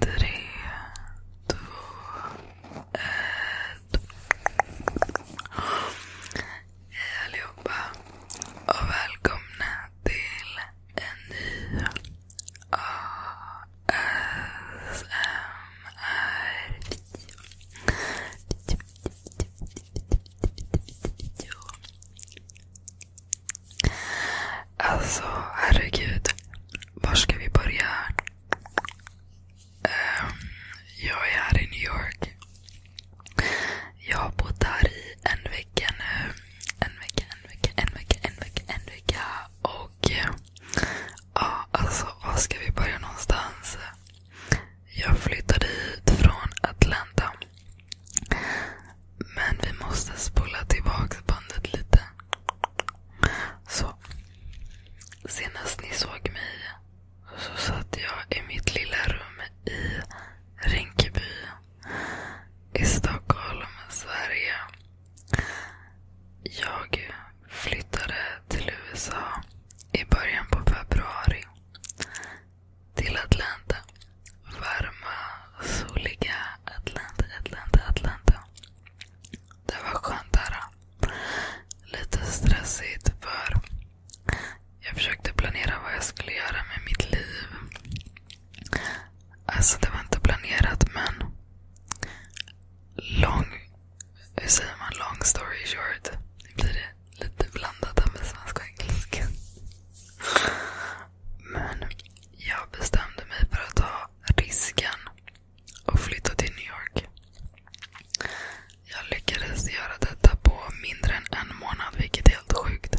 Tre, två, ett. Hej allihopa och välkomna till en ny ASMR. Alltså herregud. Var ska vi börja? Um, jag är här i New York. Jag har bott här i en vecka nu. En vecka, en vecka, en vecka, en vecka, en vecka. Och ja, alltså var ska vi börja någonstans? Jag flyttade hit från Atlanta. Men vi måste spola tillbaka bandet lite. Så. Senast ni såg mig så satt jag i mitt lilla rum i Rinkeby i Stockholm, Sverige. Jag flyttade till USA i början på februari till Atlanta. Varma, soliga Atlanta, Atlanta, Atlanta. Det var skönt där. Lite stressigt för jag försökte planera vad jag skulle göra med mitt liv. Alltså det var inte planerat men lång, hur säger man, long story short. Nu blir det lite blandat med svenska och engelska. Men jag bestämde mig för att ta risken och flytta till New York. Jag lyckades göra detta på mindre än en månad, vilket är helt sjukt.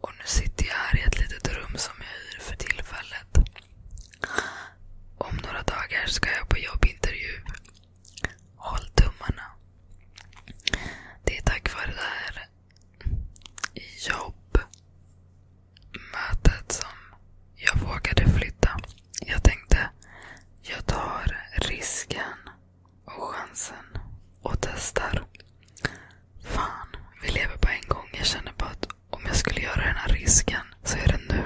Och nu sitter jag här i ett litet rum som jag hyr för tillfället. Om några dagar ska jag på jobbintervju. Håll tummarna. Det är tack vare det här jobb. Mötet som jag vågade flytta. Jag tänkte, jag tar risken och chansen och testar. Fan, vi lever bara en gång. Jag känner bara att om jag skulle göra den här risken så är det nu.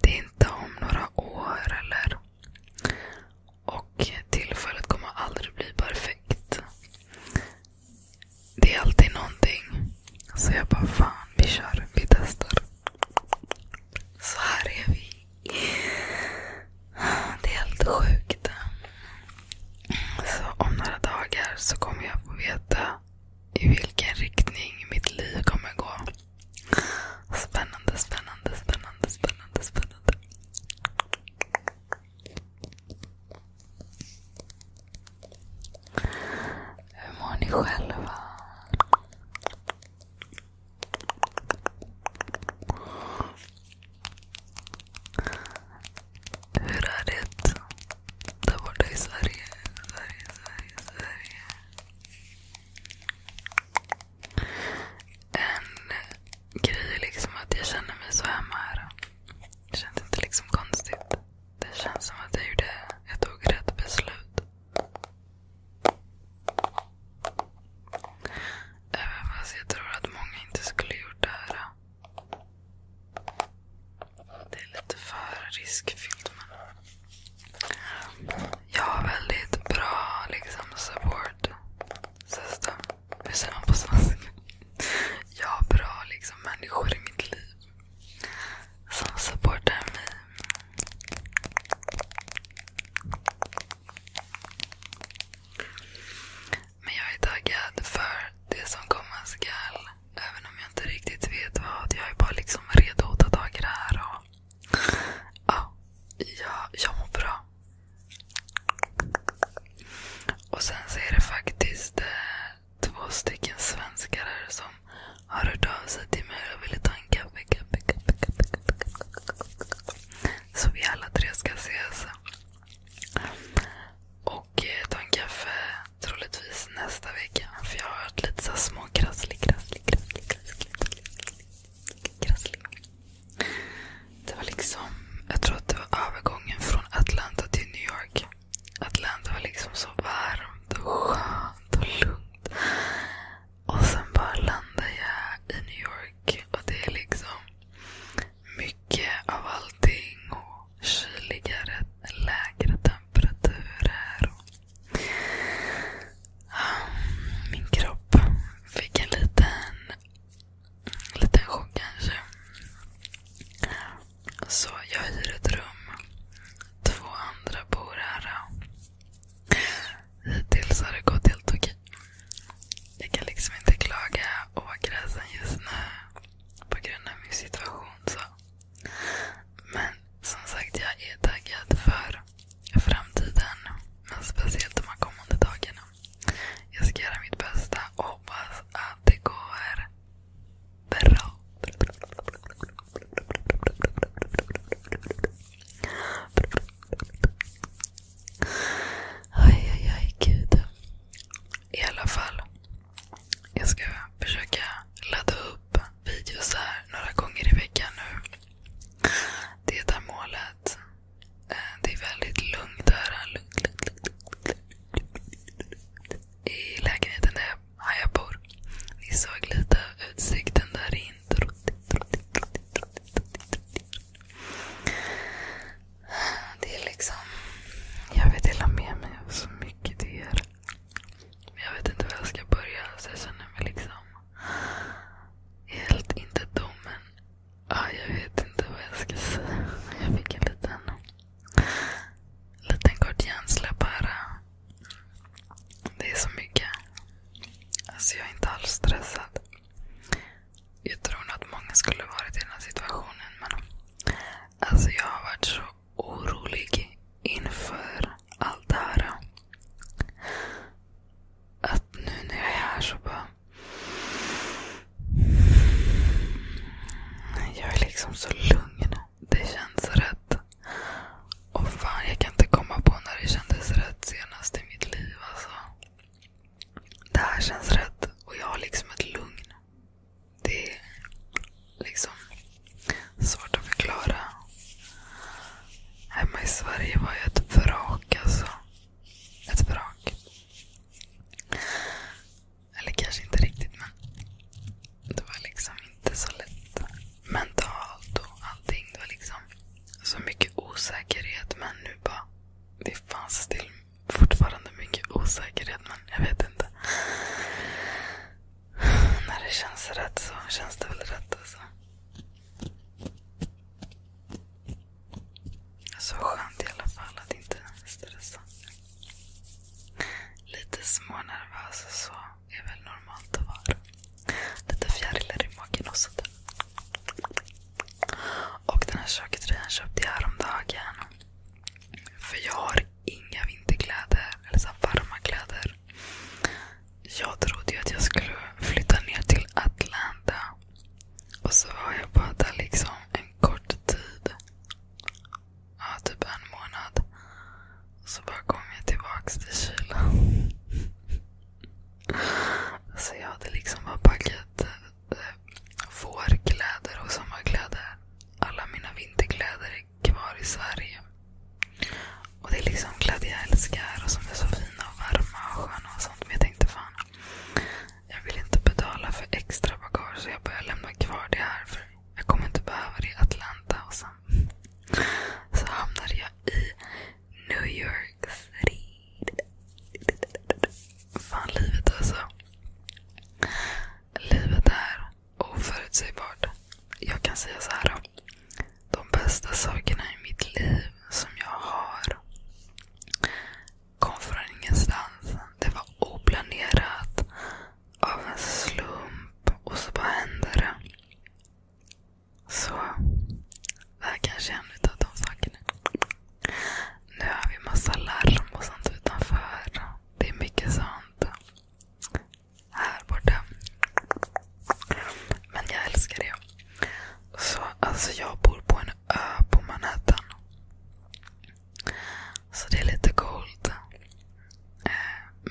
Det är inte om några år eller och tillfället kommer aldrig bli perfekt. Det är alltid någonting. Så jag bara, fan vi kör. Vi testar. Så här är vi. Det är helt sjukt. Så om några dagar så kommer jag få veta i vilken riktning mitt liv kommer gå. Spännande, spännande, spännande, spännande, spännande. Hur mår ni själva? Hur är det där borta i Sverige? Sverige, Sverige, Sverige en grej liksom att jag känner mig så hemma här. Det känns inte liksom konstigt. Det känns som att jag, tog rätt beslut. Även fast jag tror att många inte skulle gjort det här. Det är lite för riskfyllt. Men jag har väldigt bra liksom, support system. Hur säger man på svenska? Jag har bra liksom, människor i mitt liv som supportar mig. Men jag är taggad för det som komma skall. Även om jag inte riktigt vet vad. Jag är bara liksom redo att ta tag i det här. Och Ja, jag, jag mår bra. Och sen så är det faktiskt eh, två stycken svenskar här som har hört av sig till mig och ville ta en kaffe, kaffe, kaffe, kaffe, kaffe, kaffe. Så vi alla tre ska ses. Och eh, ta en kaffe troligtvis nästa vecka. För jag har hört lite så småkrasslig, krasslig, krasslig, krasslig, krasslig, krasslig, krasslig, Krassliga. Det var liksom, jag tror att det var övergången från Atlanta till New York. Atlanta var liksom så varmt skönt och lugnt. Och sen bara landade jag i New York. Och det är liksom mycket av allting. Och kyligare, lägre temperaturer. Och min kropp fick en liten, chock kanske. Så jag hyr ett rum. Två andra bor här. Hittills har det gått helt okej. Jag kan liksom inte klaga och vara kräsen just nu på grund av min situation. så. Men som sagt, jag är taggad för framtiden. Men speciellt de här kommande dagarna. Jag ska göra mitt bästa och hoppas att det går bra. Aj, aj, aj, gud. I alla fall. Jag ska försöka ladda upp videos här några gånger i veckan nu. Det är målet. Eh, det är väldigt lugnt här. Lugnt, lugnt, lugnt, I lägenheten där jag bor. Ni såg lite av utsikten där in. Det är liksom... Jag vet dela med mig av så mycket till er. Jag vet inte var jag ska börja så jag känner mig liksom helt inte dum men ah, jag vet inte vad jag ska säga. Jag fick en liten, liten kort hjärnsläpp bara. Det är så mycket. Alltså jag är inte alls stressad. Jag tror nog att många skulle varit i den här situationen men alltså jag har varit så orolig inför allt det här. Att nu när jag är här så bara... Jag är liksom så lugn. Det känns rätt. Och fan, jag kan inte komma på när det kändes rätt senast i mitt liv. Alltså. Det här känns rätt och jag har liksom ett lugn. Det är liksom svårt att förklara. Hemma i Sverige var jag ett vrak alltså. Ett vrak. Eller kanske inte riktigt men det var liksom inte så lätt mentalt och allting. Det var liksom så mycket osäkerhet men nu bara, det fanns till fortfarande mycket osäkerhet men jag vet inte. När det känns rätt så känns det väl rätt alltså. Så skönt i alla fall att inte stressa. Lite smånervös och så är väl normalt att vara. Lite fjärilar i magen och sådär. Och den här köketröjan köpte jag häromdagen. För jag har inga vinterkläder eller så varma kläder. Jag trodde ju att jag skulle flytta ner till Atlanta. Och så var jag bara där liksom en kort tid. Ja, typ en månad. Och så bara kom jag tillbaks till kylan. Så jag hade liksom bara packat eh, vårkläder och sommarkläder. Alla mina vinterkläder kvar i Sverige. Och Det är liksom jag älskar och som är så fina och varma och sköna och sånt. Men jag tänkte fan, jag vill inte betala för extra bagage så jag börjar lämna kvar det här. för Jag kommer inte behöva det i Atlanta. Och sen så hamnade jag i New York City. Fan livet alltså. Livet är oförutsägbart. Jag kan säga så här. De bästa sakerna i mitt liv som jag har kom från ingenstans. Det var oplanerat, av en slump och så bara hände det. Så det här kanske är en av de sakerna. Nu har vi massa larm och sånt utanför. Det är mycket sånt här borta. Men jag älskar det. Så alltså jag bor på en ö på Manhattan. Så det är lite coolt. Eh,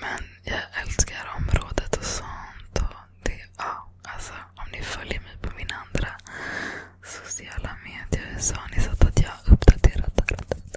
men jag älskar området och sånt. Och det, ja, alltså, om ni följer mig på mina andra sociala medier så har ni sett att jag har uppdaterat.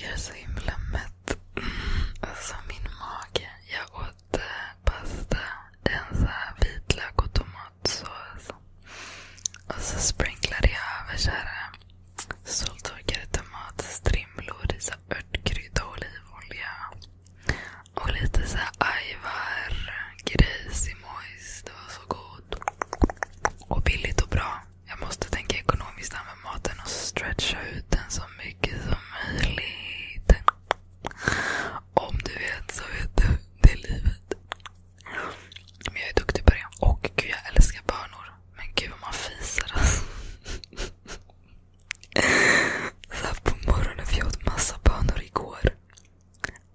Jag är så himla mätt. Alltså min mage. Jag åt eh, pasta, vitlök och tomatsås. Och så sprinklade jag över soltorkade tomatstrimlor i så eh, örtkrydda och olivolja. Och lite så här ajvar, grejsimojs. Det var så gott god och billigt och bra. Jag måste tänka ekonomiskt med maten och stretcha ut den så mycket som möjligt. Om du vet så vet du. Det är livet. Men jag är duktig på det. Och gud, jag älskar bönor. Men gud vad man fiser alltså. Så här på morgonen, för jag åt massa bönor igår.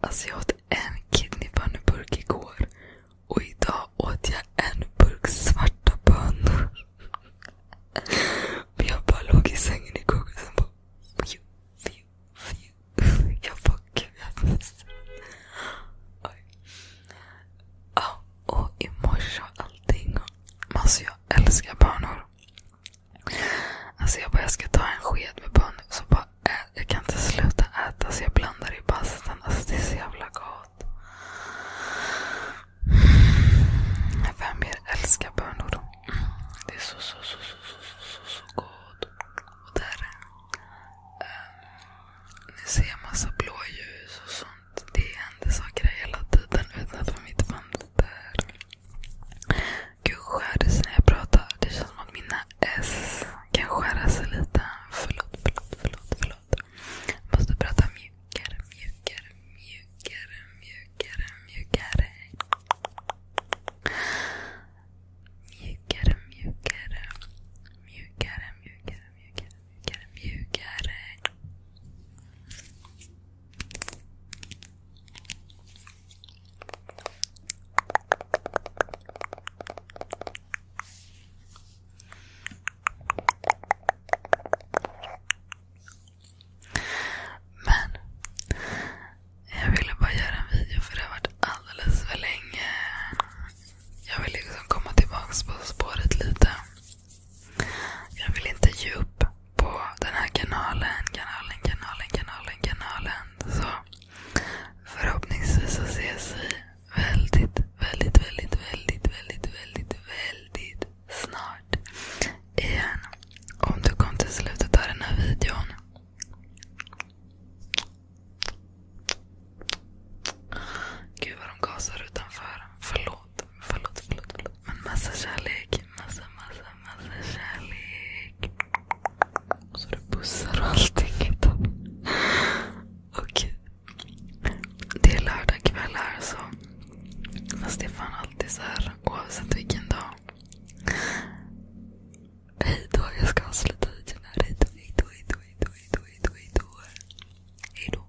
Alltså jag åt en kidneypanneburk igår. Och idag åt jag en burk svarta bönor. Men jag bara låg i sängen igår och sen bara... Fiu, fiu, fiu. Jag bara gud jag missade. Ja, och imorse och allting. Men alltså jag älskar bönor. Alltså jag bara jag ska ta en sked med bönor. Så bara jag kan inte sluta äta så jag blandar i pastan. Alltså det är så jävla gott. Vem mer älskar bönor? Då? Det är så, så, så, så, så, så, så, så gott. Och där. Äh, ni ser massa blåljus och sånt. Det händer saker hela tiden utanför mitt fönster. Gud skärs när jag pratar. Det känns som att mina S kan skära sig lite. Förlåt, förlåt, förlåt. förlåt. Jag måste prata mjukare, mjukare, mjukare, mjukare, mjukare. Mjukare, mjukare. Mjukare, mjukare, mjukare, mjukare, mjukare. Men jag ville bara göra en video för det har varit alldeles för länge. Jag vill liksom komma tillbaks på spåret lite. Jag vill inte ge upp på den här kanalen, kanalen, kanalen, kanalen, kanalen. Så Förhoppningsvis så ses vi väldigt, väldigt, väldigt, väldigt, väldigt, väldigt, väldigt snart igen. Om du kom till slutet av den här videon. Gud vad de gasar utanför. Förlåt, förlåt, förlåt. förlåt. Men massa kärlek. Massa, massa, massa kärlek. Och så du pussar och allting. Okej. Det är lördag kväll här så. Fast det är fan alltid så här oavsett vilken dag. Hej jag ska avsluta alltså videon här. Hej då, hej då, hej då, hej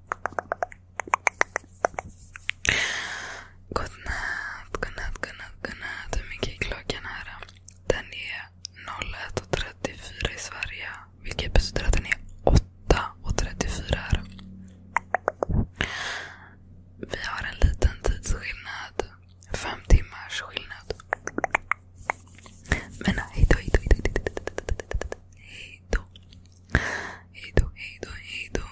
Godnatt, godnatt, godnatt, godnatt. Hur mycket är klockan här? Den är 01.34 i Sverige. Vilket betyder att den är 8.34 här. Vi har en liten tidsskillnad. Fem timmars skillnad. Men hejdå, hejdå, hejdå, hejdå, hejdå. Hejdå, hejdå, hejdå.